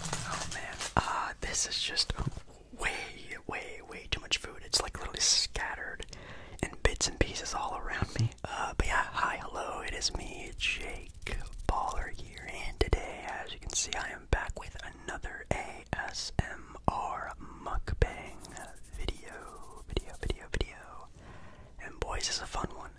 Oh man, uh, this is just way, way, way too much food. It's like literally scattered in bits and pieces all around me. Uh, but yeah, hi, hello, it is me, Jake Baller here, and today, as you can see, I am back with another ASMR mukbang video, video, video, video. And boys, it's a fun one.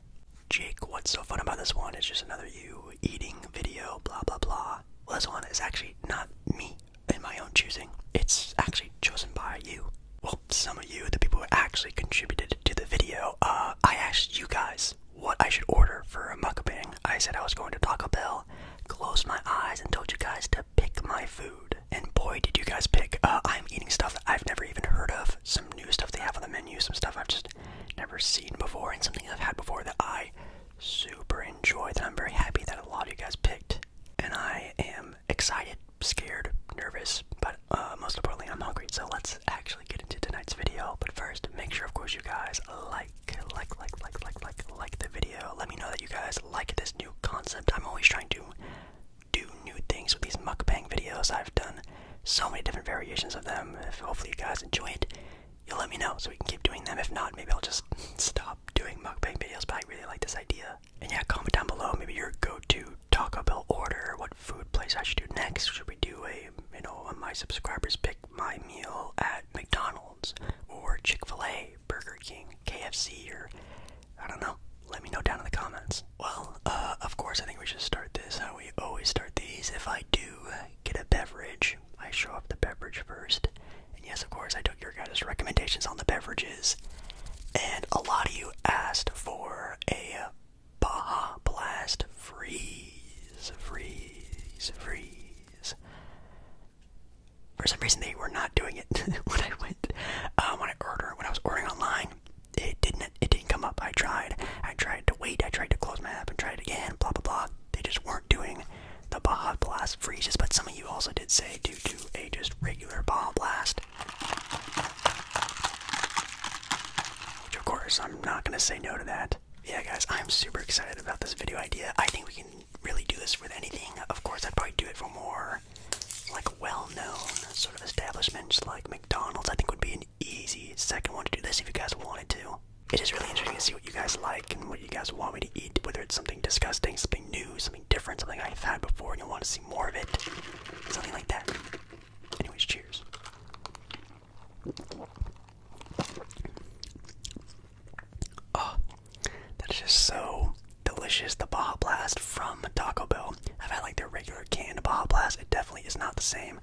Jake, what's so fun about this one? It's just another you eating video, blah blah blah. Well, this one is actually not me in my own choosing. It's actually chosen by you. Well, some of you, the people who actually contributed to the video, uh, I asked you guys what I should order for a mukbang. I said I was going to Taco Bell, closed my eyes, and told you guys to pick my food. And boy, did you guys pick. Uh, I'm eating stuff that I've never even heard of, some new stuff they have on the menu, some stuff I've just never seen before and something I've had before that I super enjoy that I'm very happy that a lot of you guys picked. And I am excited, scared, nervous, but uh, most importantly, I'm hungry. So let's actually get into tonight's video. But first, make sure, of course, you guys like, like, like, like, like, like, like the video. Let me know that you guys like this new concept. I'm always trying to do new things with these mukbang videos. I've done so many different variations of them. If hopefully, you guys enjoy it you'll let me know so we can keep doing them. If not, maybe I'll just stop doing mukbang videos, but I really like this idea. And yeah, comment down below maybe your go-to Taco Bell order, what food place I should do next. Should we do a, you know, my subscribers pick my meal at McDonald's or Chick-fil-A, Burger King, KFC, or I don't know. Let me know down in the comments. Well, uh, of course, I think we should start this how we always start these. If I do get a beverage, I show off the beverage first. And yes, of course, I took your guys' recommendations on the beverages. And a lot of you asked for a Baja Blast freeze, freeze, freeze. For some reason, they were not doing it when I went, uh, when I ordered, when I was ordering online. It didn't it didn't come up. I tried. I tried to wait. I tried to close my app and tried again. Blah blah blah. They just weren't doing the Baja Blast freezes. But some of you also did say due to a just regular Baja Blast, which of course I'm not gonna say no to that. Yeah, guys, I'm super excited about this video idea. I think we can really do this with anything. Of course, I'd probably do it for more like well-known sort of establishments like McDonald's. I think would be an easy second one to do this if you guys wanted to. It is really interesting to see what you guys like and what you guys want me to eat, whether it's something disgusting, something new, something different, something I've had before and you want to see more of it, something like that. Anyways, cheers. Oh, that is just so delicious. The Baja Blast from Taco Bell. I've had like their regular canned Baja Blast. It definitely is not the same.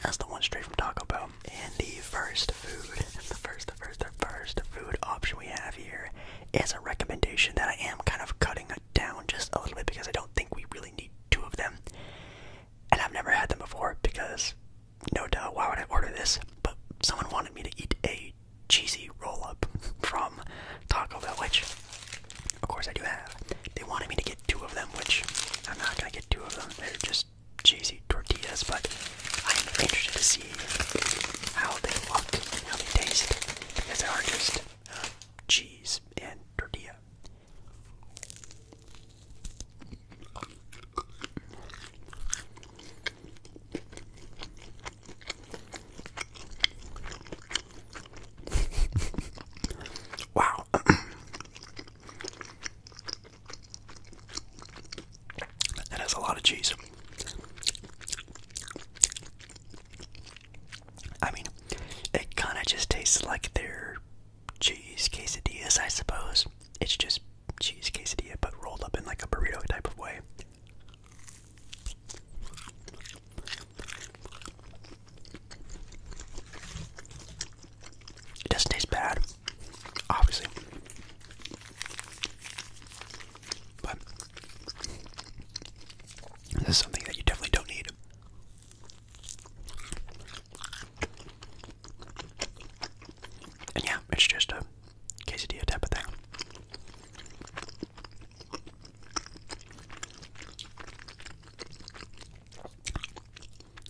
That's the one straight from Taco Bell. And the first food, the first, the first, the first food option we have here is a recommendation that I am kind of cutting down just a little bit because I don't think we really need two of them. And I've never had them before because, no duh, why would I order this? But someone wanted me to eat a cheesy roll up from Taco Bell, which of course, I do have. They wanted me to get two of them, which I'm not gonna get two of them. They're just cheesy tortillas, but I'm interested to see how they look and how they taste because they are just um, cheese and tortilla. wow. That has a lot of cheese. I mean, it kind of just tastes like their cheese quesadillas, I suppose. It's just cheese quesadilla, but rolled up in like a burrito type of way. It doesn't taste bad, obviously. But this is something that you definitely don't need. And yeah, it's just a quesadilla type of thing.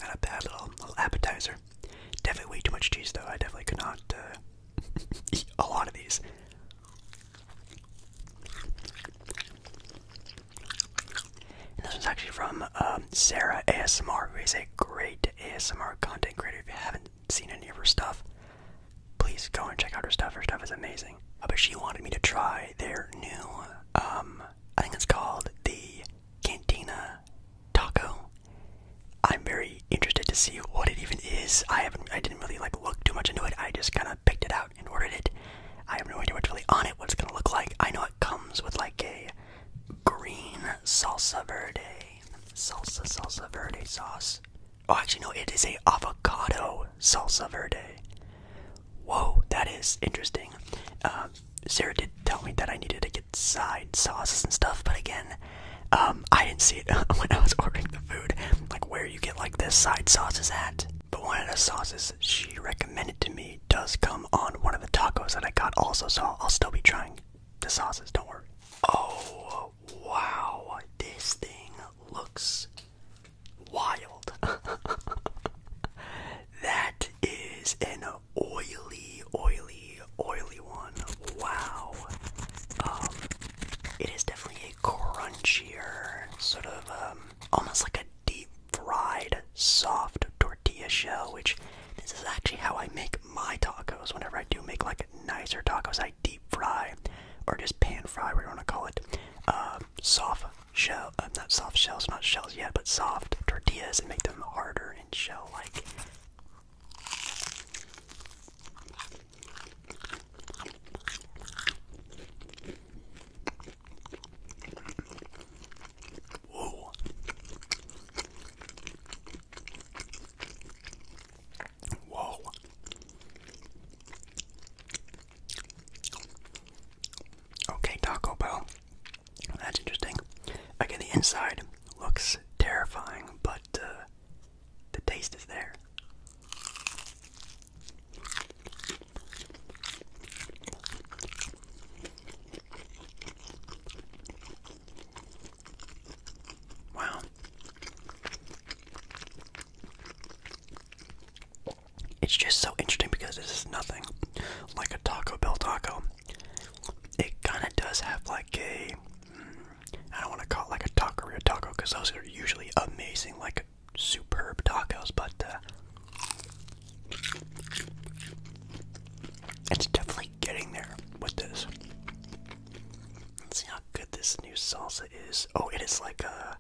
Not a bad little, little appetizer. Definitely way too much cheese, though. I definitely could not uh, eat a lot of these. this one's actually from um, Sarah ASMR, who is a great ASMR content creator. If you haven't seen any of her stuff, please go and check out her stuff. Her stuff is amazing. Uh, but she wanted me to try their new um, I think it's called the Cantina Taco. I'm very interested to see what it even is. I haven't, I didn't really like look too much into it. I just kind of picked it out and ordered it. I have no idea what's really on it, what it's gonna look like. I know it comes with like a green salsa verde, salsa salsa verde sauce. Oh, actually no, it is a avocado salsa verde, Whoa, that is interesting. Um, Sarah did tell me that I needed to get side sauces and stuff, but again, um, I didn't see it when I was ordering the food, like where you get like the side sauces at. But one of the sauces she recommended to me does come on one of the tacos that I got also, so I'll still be trying the sauces, don't worry. Oh, wow, this thing looks Wild. that is an oily, oily, oily one. Wow. Um, it is definitely a crunchier, sort of um, almost like a deep fried, soft tortilla shell, which this is actually how I make my tacos. Whenever I do make like nicer tacos, I deep fry or just pan fry, whatever you want to call it, uh, soft shell, uh, not soft shells, not shells yet, but soft tortillas and make them harder and shell like. Whoa. Whoa. Okay, Taco Bell. That's interesting. Again, the inside looks terrifying, but uh, the taste is there. Wow. It's just so interesting because this is nothing like a Taco Bell taco. It kind of does have like a, mm, I don't want to call it like a taco or taco because those are usually amazing, like superb tacos, but uh, it's definitely getting there with this. Let's see how good this new salsa is. Oh, it is like a uh,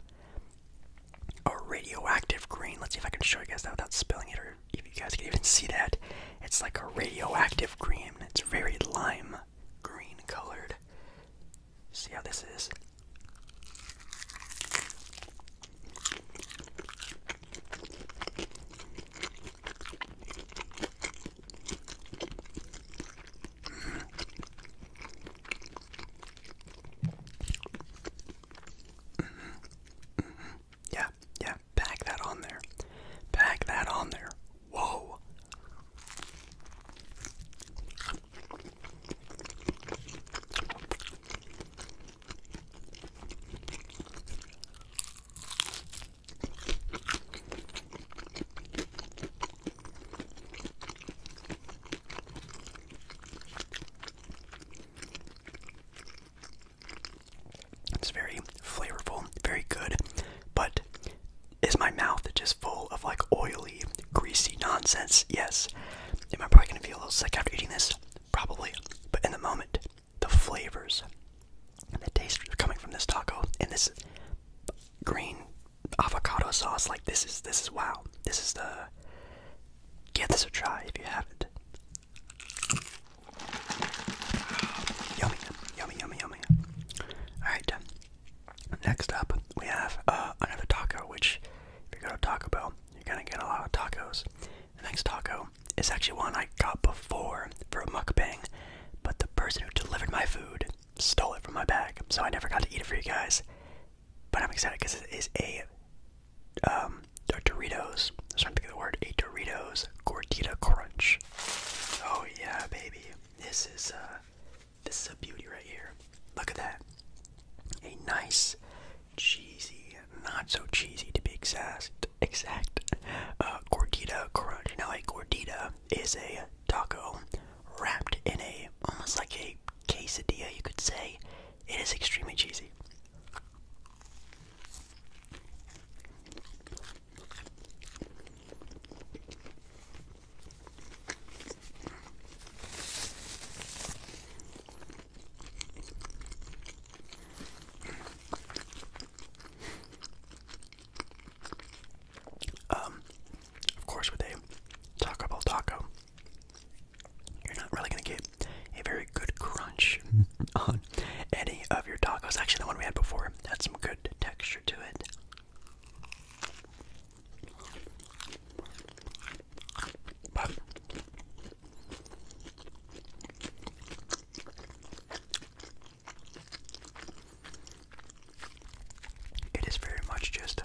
a radioactive green. Let's see if I can show you guys that without spilling it, or if you guys can even see that. It's like a radioactive green. It's very lime green colored. See how this is? Mm Yeah, yeah, pack that on there. Pack that on there. Whoa. It's very flavorful, very good, but is my mouth just full of like oily, greasy nonsense? Yes. Am I probably gonna feel a little sick after eating this? Probably. But in the moment, the flavors and the taste coming from this taco and this green avocado sauce. Like this is this is wow. This is the give this a try if you haven't. Yummy, yummy, yummy, yummy. All right. Next up, we have uh, another taco. Which, if you go to Taco Bell, you're gonna get a lot of tacos. The next taco is actually one I got before for a mukbang, but the person who delivered my food stole it from my bag, so I never got to eat it for you guys. But I'm excited because it is a, um, Doritos. I'm trying to think the word. A Doritos Gordita Crunch. Oh yeah, baby. This is a uh, this is a beauty right here. Look at that. A nice, cheesy, not so cheesy to be exact, exact. Uh, gordita crunch. Now like gordita is a taco wrapped in a almost like a quesadilla, you could say. It is extremely cheesy. Um, of course, with a Taco Bell taco, you're not really gonna get a very good crunch on any of your tacos. Actually, the one we had before had some good texture to it. It is very much just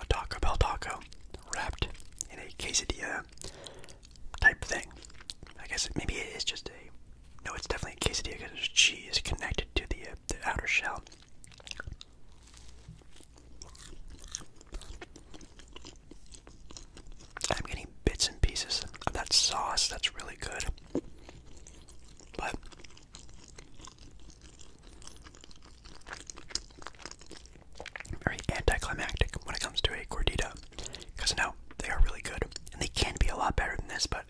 a Taco Bell taco wrapped in a quesadilla type thing. I guess maybe it is just a. No, it's definitely a quesadilla because there's cheese connected to the, uh, the outer shell. I'm getting bits and pieces of that sauce that's really good. But very anticlimactic when it comes to a gordita, because no, they are really good, and they can be a lot better than this. But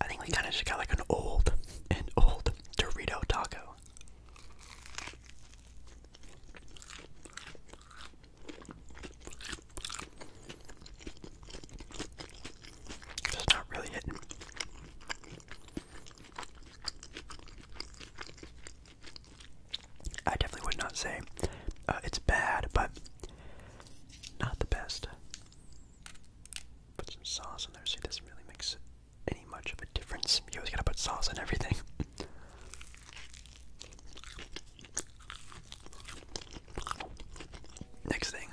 I think we kind of just got like an old, and old Dorito taco. It's not really hitting. I definitely would not say uh, it's bad, but not the best. Put some sauce in there. See, this really makes any much of a difference. You always gotta put sauce in everything. Next thing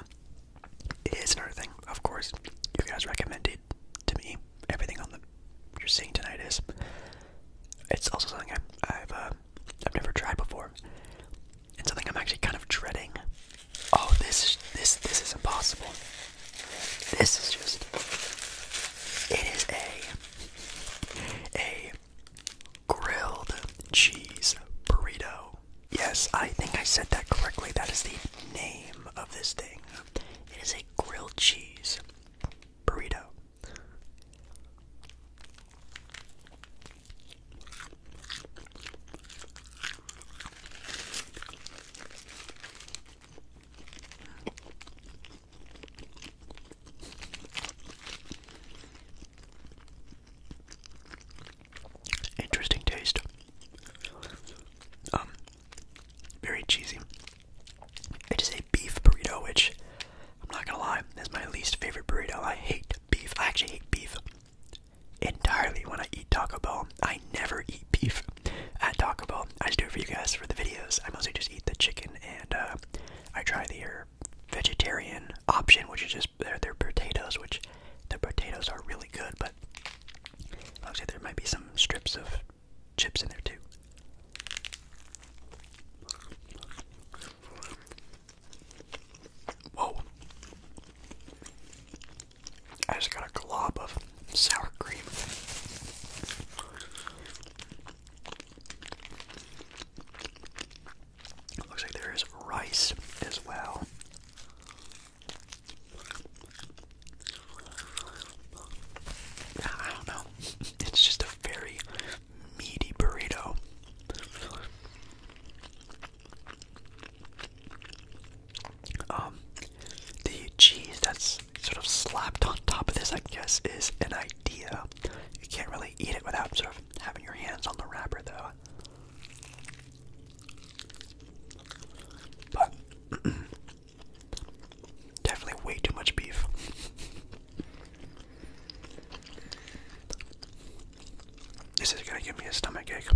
is another thing. Of course, you guys recommended to me everything on the you're seeing tonight is. It's also something I, I've uh, I've never tried before, and something I'm actually kind of dreading. Oh, this this this is impossible. This is just. It is a a grilled cheese burrito. Yes, I think I said that correctly. That is the name of this thing. It is a grilled cheese burrito. Interesting taste. Um, very cheesy. It is a beef burrito, which I'm not gonna lie, is my least favorite burrito. I hate beef. I actually hate beef entirely when I eat Taco Bell. I never eat beef at Taco Bell. I just do it for you guys for the videos. I mostly just eat the chicken and uh, I try the vegetarian option, which is just their, their potatoes, which the potatoes are really good, but looks like there might be some strips of chips in there too. Whoa. I just got a glob of sour cream. Looks like there is rice as well. I don't know. It's just a very meaty burrito. Um, the cheese that's sort of slapped on top of this, I guess, is an idea. You can't really eat it without sort of having your hands on the wrapper, though. But definitely way too much beef. This is gonna give me a stomach ache.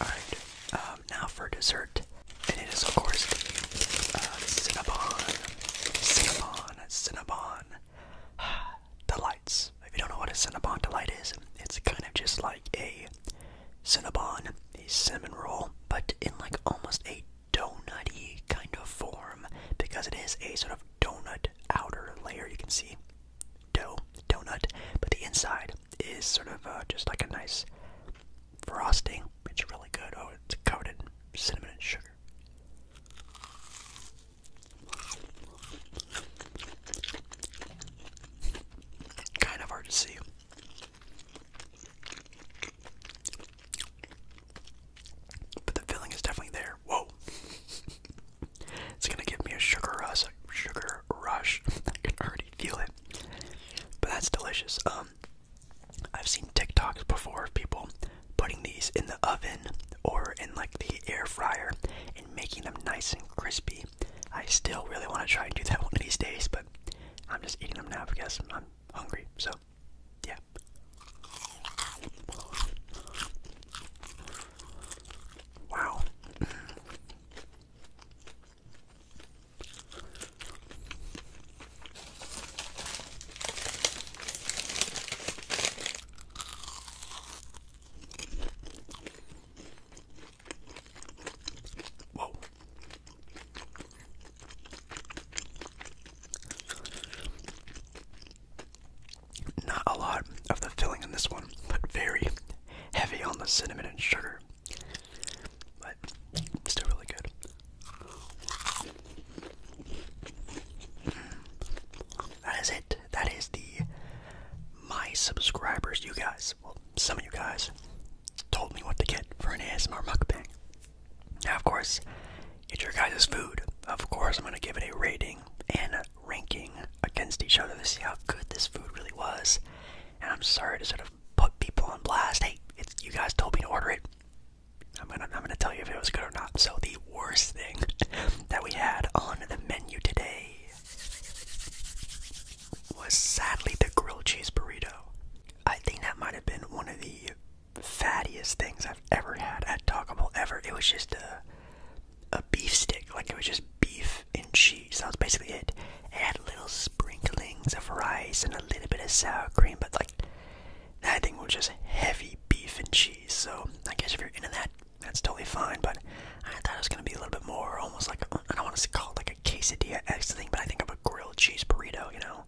Alright, um, now for dessert. And it is, of course, the uh, Cinnabon. The lights. If you don't know what a Cinnabon delight is, it's kind of just like a Cinnabon, a cinnamon roll, but in like almost a donutty kind of form because it is a sort of donut outer layer. You can see dough, donut, but the inside is sort of uh, just like a nice frosting. It's really good. Oh, it's coated cinnamon and sugar. Kind of hard to see. But the filling is definitely there. Whoa. it's gonna give me a sugar rush sugar rush. I can already feel it. But that's delicious. Um I've seen TikToks before of people putting these in the oven or in like the air fryer and making them nice and crispy. I still really want to try and do that one of these days, but I'm just eating them now because I'm hungry. So, yeah. Wow. Not a lot of the filling in this one, but very heavy on the cinnamon and sugar. But still really good. That is it. That is the my subscribers. You guys, well, some of you guys, told me what to get for an ASMR mukbang. Now, of course, it's your guys' food. Of course, I'm gonna give it a rating and ranking against each other to see how good this food really was. And I'm sorry to sort of put people on blast. Hey, it's you guys told me to order it. I'm gonna I'm gonna tell you if it was good or not. So the worst thing that we had on the menu today was sadly the grilled cheese burrito. I think that might have been one of the fattiest things I've ever had at Taco Bell ever. It was just a a beef stick, like it was just beef and cheese. That was basically it. It had little sprinklings of rice and a little bit of sour cream, but like that thing was just heavy beef and cheese. So I guess if you're into that, that's totally fine. But I thought it was gonna be a little bit more, almost like I I don't want to call it like a quesadilla X thing, but I think of a grilled cheese burrito. You know,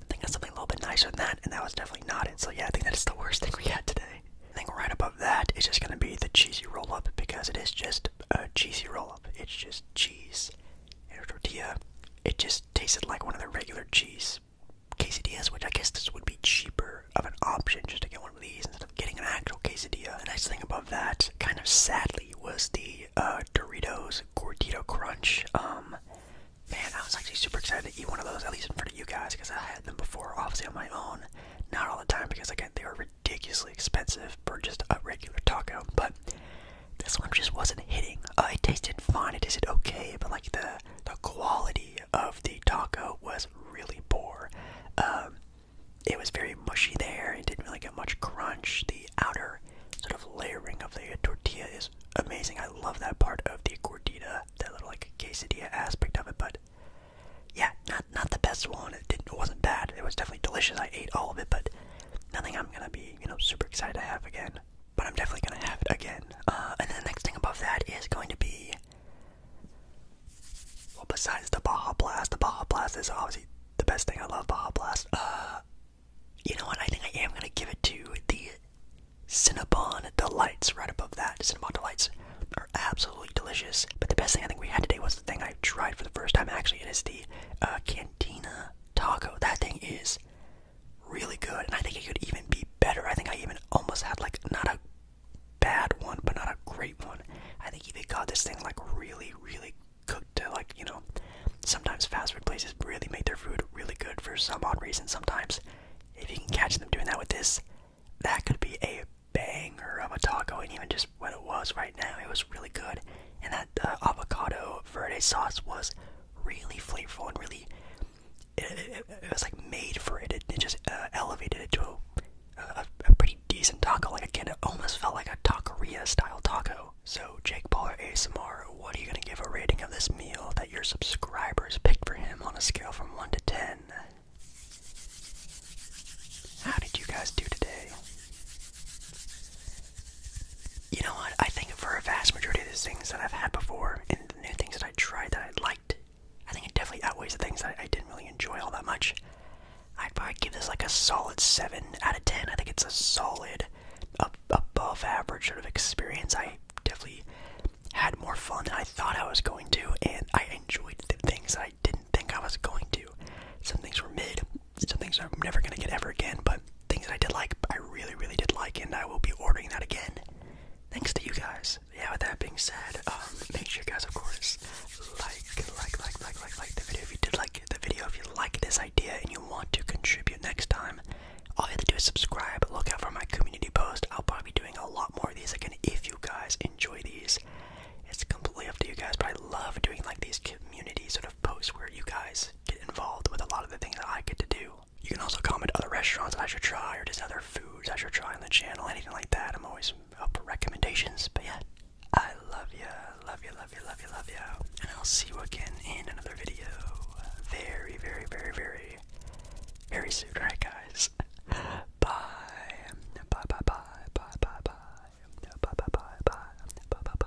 I think that's something a little bit nicer than that, and that was definitely not it. So yeah, I think that is the worst thing we had today. I think right above that is just gonna be the cheesy roll up because it is just a cheesy roll up. It's just cheese and tortilla. It just tasted like one of the regular cheese quesadillas, which I guess this would be cheaper of an option just to get one of these instead of getting an actual quesadilla. The nice thing above that, kind of sadly, was the uh, Doritos Gordito Crunch. Um, man, I was actually super excited to eat one of those, at least in front of you guys, because I had them before, obviously on my own. Not all the time because again they were ridiculously expensive for just a regular taco, but this one just wasn't hitting. Uh, it tasted fine, it tasted okay, but like the the quality of the taco was really poor. Um, it was very mushy there. It didn't really get much crunch. The outer sort of layering of the tortilla is amazing. I love that part of the gordita, that little like quesadilla aspect of it. But yeah, not not the best one. It wasn't bad. It was definitely delicious. I ate all of it, but nothing I'm gonna be you know super excited to have again but I'm definitely gonna have it again. Uh, and then the next thing above that is going to be well, besides the Baja Blast, the Baja Blast is obviously the best thing. I love Baja Blast. Uh, you know what? I think I am gonna give it to the Cinnabon Delights right above that. Cinnabon Delights are absolutely delicious. But the best thing I think we had today was the thing I tried for the first time. Actually, it is the uh, Cantina Taco. That thing is really good, and I think it could even be better. I think I even almost had like not a bad one, but not a great one. I think they got this thing like really, really cooked to like you know. Sometimes fast food places really make their food really good for some odd reason. Sometimes, if you can catch them doing that with this, that could be a banger of a taco. And even just what it was right now, it was really good. And that uh, avocado verde sauce was really flavorful and really it, was like made for it. It, it just uh, elevated it to a, pretty decent taco. Like again, it almost felt like a taqueria style taco. So Jake Baller ASMR, what are you gonna give a rating of this meal that your subscribers picked for him on a scale from one to ten? How did you guys do today? you know what? I think for a vast majority of these things that I've had before and the new things that I tried that I liked, I think it definitely outweighs the things that I didn't really enjoy all that much. I'd probably give this like a solid 7 out of 10. I think it's a solid, up, above average sort of experience. I definitely had more fun than I thought I was going to, and I enjoyed the things that I didn't think I was going to. Some things were mid, some things I'm never gonna get ever again, but things that I did like, I really, really did like, and I will be ordering that again. Thanks to you guys. Yeah, with that being said, um, make sure you guys, of course, like, like, like, like, like, like the video if you did like the video, if you like this idea and you want to contribute next time, all you have to do is subscribe, look out for my community post. I'll probably be doing a lot more of these again if you guys enjoy these. It's completely up to you guys, but I love doing like these community sort of posts where you guys guys get involved with a lot of the things that I get to do. You can also comment other restaurants I should try or just other foods I should try on the channel, anything like that. I'm always up for recommendations. But yeah, I love you, love you, love you, love you, love you. And I'll see you again in another video very, very, very, very, very soon. Alright, guys. Bye. Bye, bye, bye, bye, bye, bye, bye, bye, bye, bye, bye, bye.